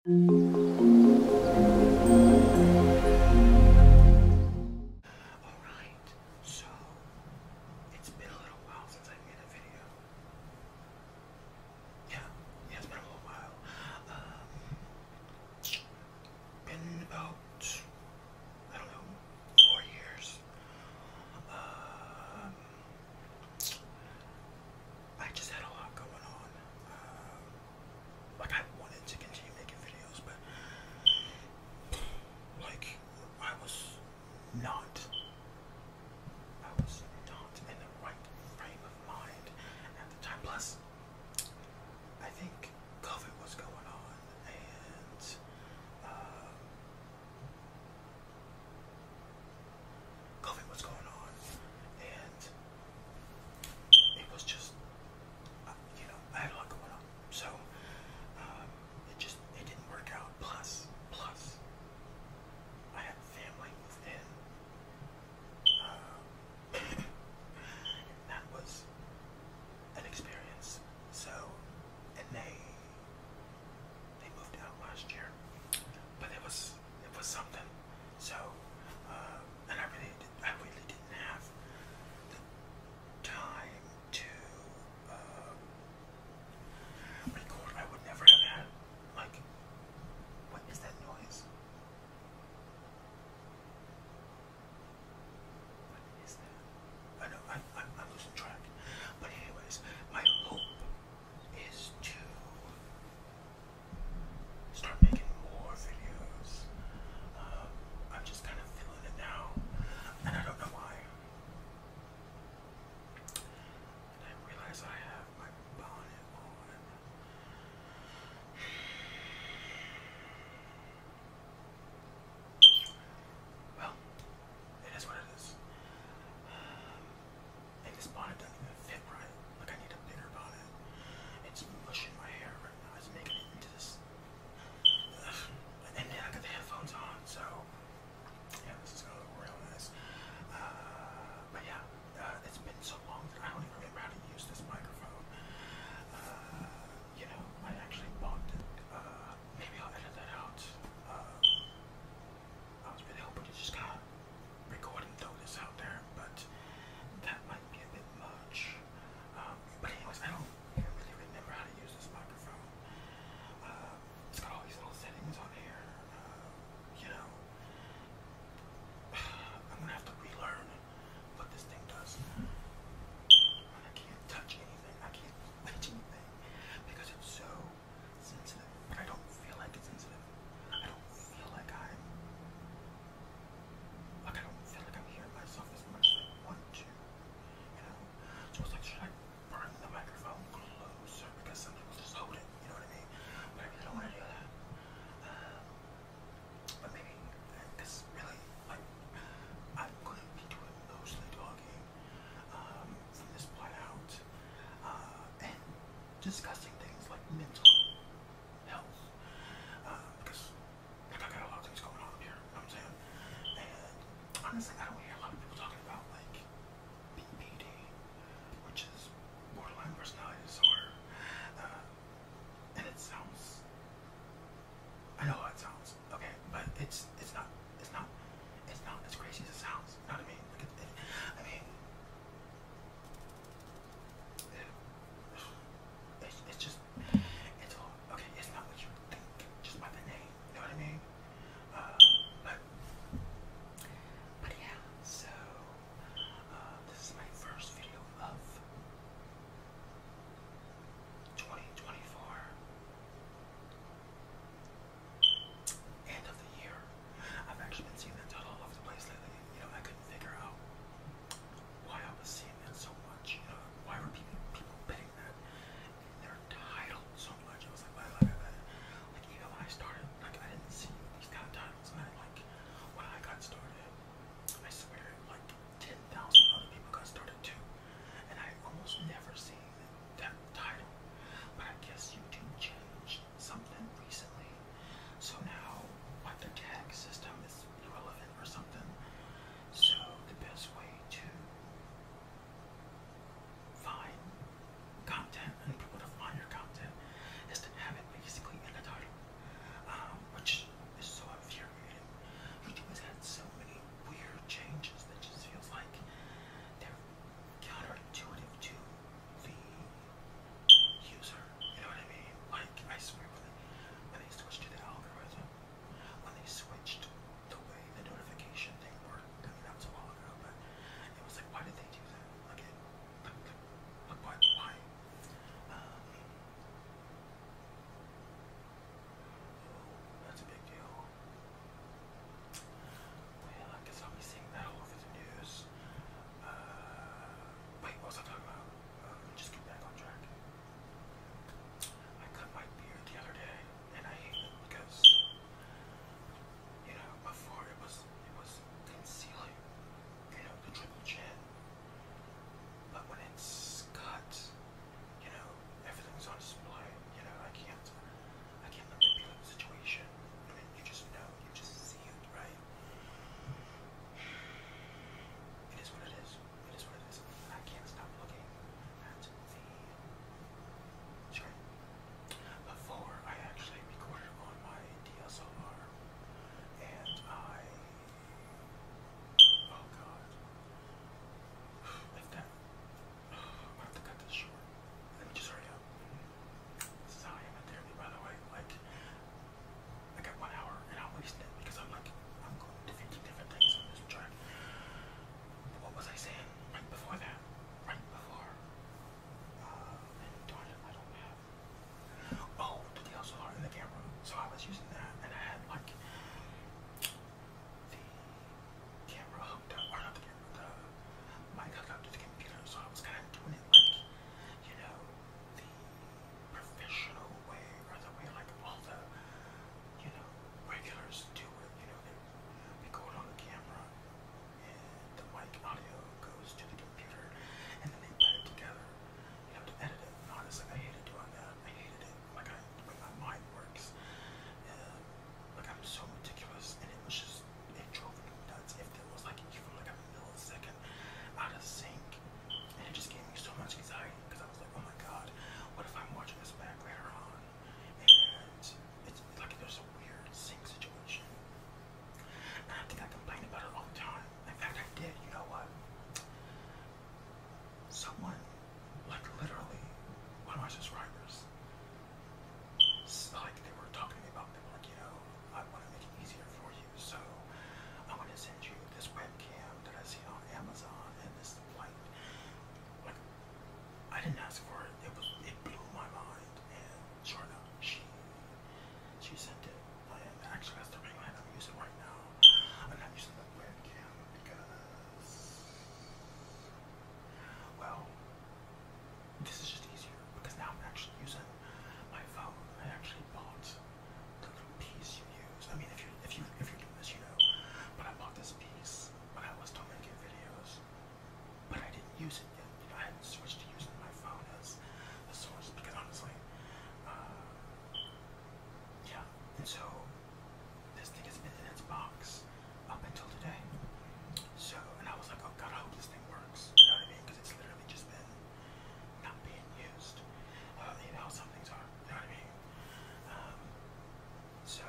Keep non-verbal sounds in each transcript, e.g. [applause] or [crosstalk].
Alright, so it's been a little while since I made a video. Yeah, yeah, it's been a little while. Um, been about, I don't know, four years. Um, I just had a lot going on. Um, like I wanted to continue making videos, but like I was not. I was not in the right frame of mind at the time. Plus, I think COVID was going on, and um, COVID was going on, and it was just, uh, you know, I had a lot going on, so um, it just it didn't work out. Plus, plus, I had family and um, [coughs] that was an experience. So, and they they moved out last year, but it was it was something. So, uh, and I really, I really didn't have the time to uh, record. I would never have had. Like, what is that noise? What is that? I know I'm losing track. But anyways, my hope is to start making more videos. Um, I'm just kind of feeling it now, and I don't know why. And I realize I have my bonnet Well, it is what it is. And this bonnet doesn't even fit right. Like I need a bigger bonnet. It's mushing my hair right now. It's making it into this. And then I got the headphones on, so yeah, this is gonna look real nice. Uh, but yeah, uh, it's been so long that I don't even remember how to use this microphone. Uh, you know, I actually bought it. maybe I'll edit that out. I was really hoping to just Recording and throw this out there, but that might be a bit much. Um, but anyways, I don't really remember how to use this microphone. Uh, it's got all these little settings on here. Uh, you know, [sighs] I'm gonna have to relearn what this thing does. I can't touch anything. I can't reach anything because it's so sensitive. But I don't feel like it's sensitive. I don't feel like i I don't feel like I'm hearing myself as much as I want to. You know? So it's like should I burn the microphone closer because some people just hold it, you know what I mean? But I really don't want to do that. Um, but maybe really like I'm gonna be doing mostly talking um, from this point out uh, and discussing things like mental health. Uh, because like I got a lot of things going on here, I'm saying? And honestly I don't hear a lot of people talking about like BPD, which is borderline personality disorder. Uh, and it sounds I know how it sounds, okay, but it's it's not it's not it's not as crazy as it sounds, you I mean? I mean it's, just, it's all, okay, it's not what you think, just by the name, you know what I mean? Uh, but, but yeah, so, uh, this is my first video of 2024, end of the year. I've actually been seeing that all over the place lately, you know, I couldn't figure out why I was seeing that so much. You know, why were people people betting that in their title so much? I was like, why, why, why? like even when I started, like I didn't see these kind of titles, and I like when I got started, I swear, like ten thousand other people got started too, and I almost never seen that title. But I guess YouTube changed something recently, so now like their tag system is irrelevant or something. So the best way to find content and promote to find your content is to have it basically in the title, um, which is so infuriating. YouTube has had so many weird changes that just feels like they're counterintuitive to the user. You know what I mean? Like I swear when they, when they switched to the algorithm, when they switched the way the notification thing worked, I mean that was a while ago, but it was like why did they do that? Like like, like why why? Um, that's a big deal. Well, I guess seeing that all over the news. Uh, wait, what was I talking about? Uh, just get back on track. I cut my beard the other day, and I hate it because you know before it was it was concealing, you know, the triple chin. But when it's cut, you know, everything's on display. You know, I can't, I can't manipulate the situation. I mean, you just know, you just see it, right? It is what it is. It is what it is. I can't stop looking at the Before I actually recorded on my DSLR, and I. Oh god. Like that. i have to cut this short. Let me just hurry up. This is how I am in therapy, by the way. Like, I got one hour and I wasted it because I'm like, I'm going to 50 different things on this track. What was I saying right before that? Right before. Uh, oh, the DSLR in the camera. So I was using that and I had like the camera hooked up, or not the camera, the mic hooked up to the computer. So I was kind of doing like, you know, professional way or the way like all the, you know, regulars do it. You know, they, they go on camera and the mic audio goes to the computer and then they put it together. You have to edit it. Honestly, I hated doing that. I hate it. Like I, like my mind works. like I'm so meticulous and it was just, it drove me nuts. If there was like even like a millisecond and out of sync. And it just gave me so much anxiety because I was like, oh my god, what if I'm watching this back later on? And it's like there's a weird sync situation. And I think I complained about it all the time. In fact, I did. You know what? Someone, like literally, one of my subscribers, like they were talking to me about, they were like, you know, I want to make it easier for you. So I'm gonna send you this webcam that I see on Amazon and this light. Like I didn't ask for it. It was it blew my mind and sure she she sent it. I actually that's the ring light I'm using right now. I'm not using the webcam because well this is just easier because now I'm actually using my phone. I actually bought the little piece you use. I mean, if you if you if you do this, you know. But I bought this piece when I was still making videos, but I didn't use it yet. You know, I hadn't switched to using my phone as the source because honestly, uh, yeah. And so this thing has been in its box up until today. So, and I was like, oh god, I hope this thing works. You know what I mean? Because it's literally just been not being used. Uh, you know, some things are you know what I mean? Um, so,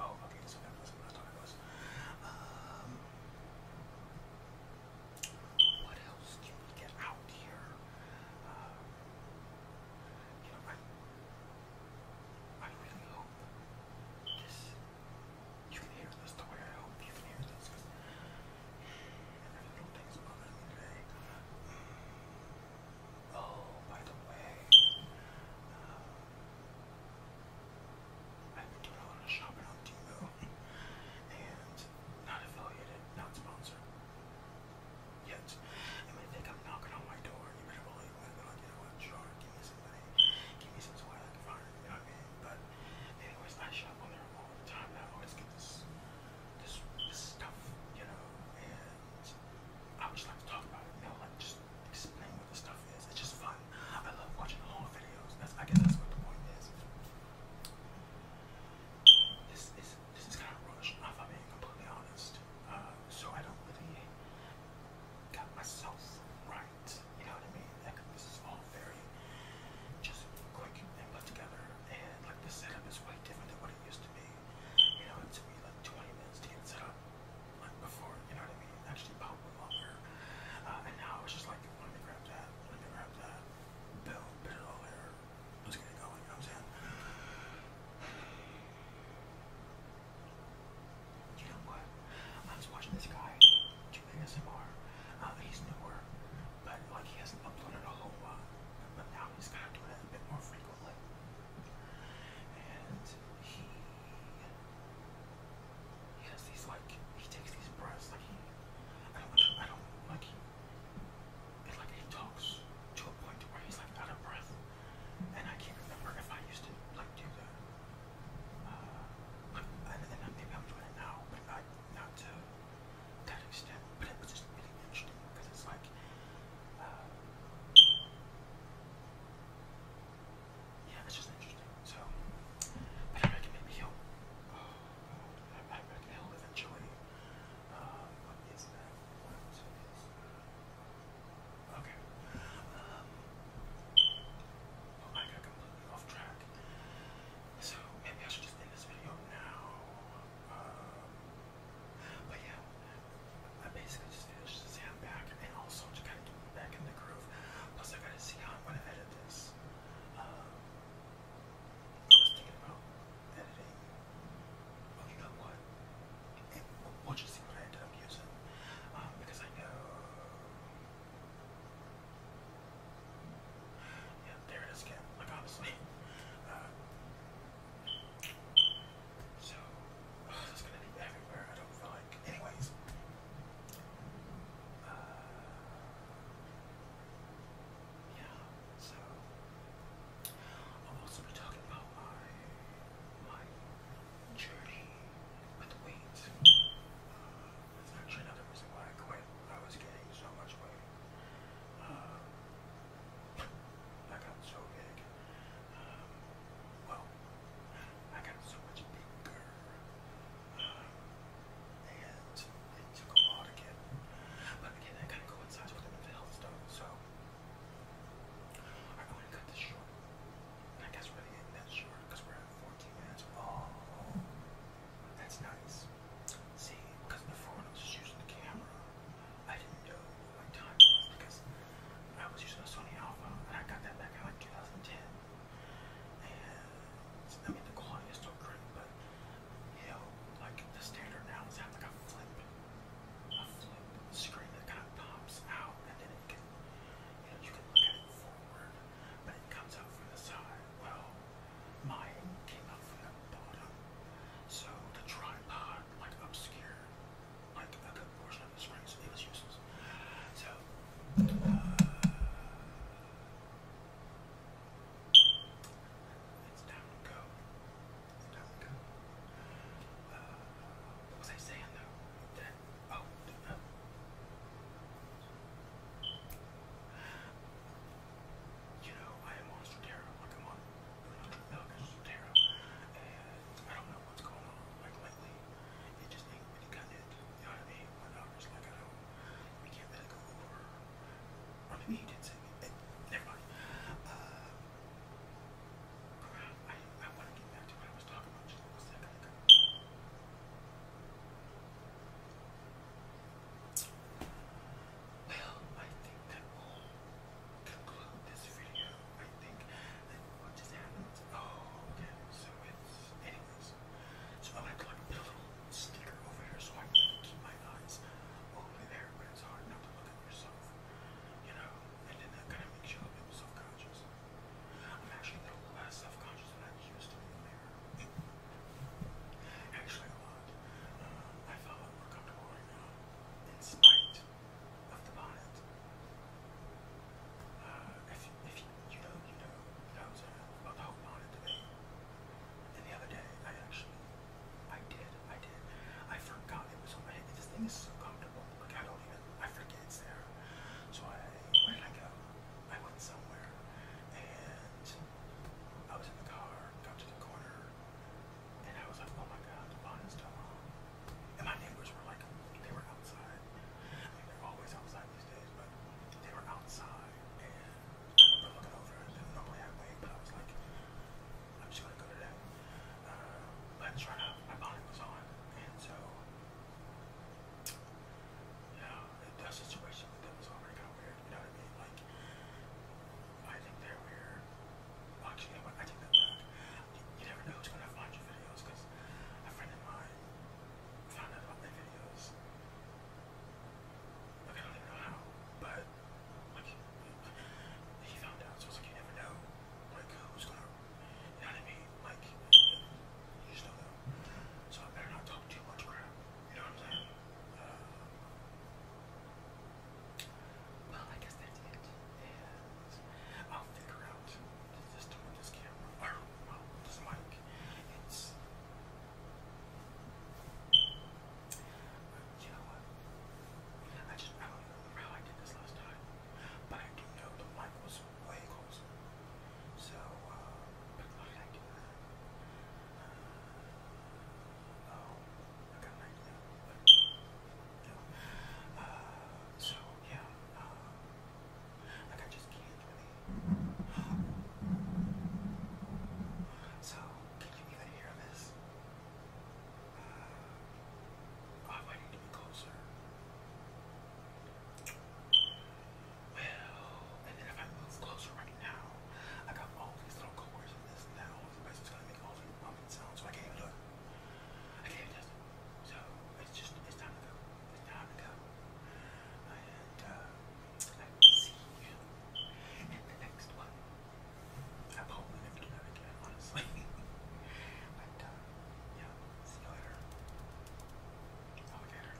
oh, okay, so that wasn't what it was. Um, what else can we get out here? Uh, you know, I, I really hope this, you can hear this the way I hope you can hear this. Um, oh, by the way, I've doing a lot shopping on Timo, and not affiliated, not sponsored yet. And they think knocking on my door, you better believe me. Like, you know what? Sure, give me some money, give me some swag, fine. You know what I mean? But anyways, I shop on their all the time. I always get this, this, this stuff, you know, and I would just like to talk about it, you know, like just explain what this stuff is. It's just fun. I love watching long videos. That's, I guess that's what the point is. This is this is kind of rushed, if I'm being completely honest. Uh, so I don't really got myself right. You know what I mean? Like, this is all very just quick and put together. And like the setup is way different than what it used to be. You know, it took me like 20 minutes to get set up like before, you know what I mean? Actually probably longer. Uh, and now it's just like let me grab that, let me grab that, build, put it all there, let's get it going, you [sighs] i was watching this guy ASMR. Uh, he's newer, but like he hasn't uploaded a whole lot. But now he's kind of doing it a bit more frequently. And he he has like he takes these breaths like he I don't I don't like he it's like he talks to a point where he's like out of breath. And I can't remember if I used to like do that. Uh, and, and maybe I'm doing it now, but I, not to that extent, but it was just really interesting because it's like yeah, it's just interesting. So, but I reckon maybe he'll. I reckon he'll eventually. Uh, what is What is that? Okay. Um, well, I completely off track. So maybe I should just end this video now. Um, but yeah, I basically just finished to say I'm back and also just kind of get back in the groove. Plus, I gotta see how I'm to edit this. Um, I was thinking about editing. Well, you know what? we'll just see what I end up using. Um, because I know. Yeah, there it is again, like obviously. [laughs] Uh, so, oh, gonna be everywhere, I don't like. Anyways. Uh, yeah, so I'll also be talking about my my journey with weight. Uh, that's actually another reason why I quit. I was getting so much weight. Uh, I got so big. Um, well, I got so much bigger. Uh, and it took a while to get. But again, that kind of coincides with the health stuff, so I'm going to cut this short. I guess really isn't that short because we're at 14 minutes. Oh. That's nice. See, because before I was just using the camera, I didn't know my time was because I was using a Sony Alpha and I got that back in like 2010. And I mean, the quality is still great, but you know, like the standard now is having like a flip, a flip screen that kind of pops out and then you can look at it forward, but it comes out from the side. Well, mine came up from the bottom. So the tripod like obscured like a portion of the screen, it was useless. So uh, it's time to go. Uh, what was I saying though? oh. Uh, you know, I am on Stratera, like i on, really on and I don't know what's going on, like lately, it just ain't really got it, you know what I mean, my daughter's like, I we can't let it go over, or maybe he did say, eh, never mind, uh, I, I want to get back to what I was talking about just a second ago. Well, I think that will conclude this video. I think that what just happened. Oh, okay. So it's anyways. So I'm gonna put a little sticker over here so I can keep my eyes over there, but it's hard not to look at yourself. You know, and then that kind of makes you a little self-conscious. I'm actually a little self-conscious than I used to be in Actually, I uh, felt more comfortable right now, in spite of the bonnet. Uh, if, you, know, you know, I about the whole bonnet today. And the other day, I actually, I did, I did. I forgot it was on my head. This thing is so comfortable. I don't even, I forget it's there. So I, where did I go? I went somewhere, and I was in the car, got to the corner, and I was like, oh my god, the bond is still on. And my neighbors were like, they were outside. I mean, they're always outside these days, but they were outside. And I remember looking over and then normally I wait, but I was like, I'm just gonna go to that. Uh, but sure enough, my bonnet was on, and so, you know, the situation that was already got weird, you know what I mean? Like, I think they're weird. Actually, you I take that back. You, never know who's going to find your videos a friend of mine found out about my videos. I don't even know how, but like, he found out. So it's like, you never know like who's going to, you know what Like, you just don't So I better not talk too much crap. You um, well, I guess that's it. I'll figure out the system this camera, or, this mic. It's. You know what? I just, I don't remember how I did this last time, but I do know the mic was way closer. So, uh, but why did I Oh, so yeah, I just can't So can you even hear this? I might need closer. Well, and then if I move closer right now, I got all these little coercion this and that. All to make all these pumping sounds, so I can't even look. I can't even just. So it's just it's time to go. It's time to go. And I uh, see you in the next one. I hope we never do that again, honestly. [laughs] but uh, yeah, see you later. Alligator.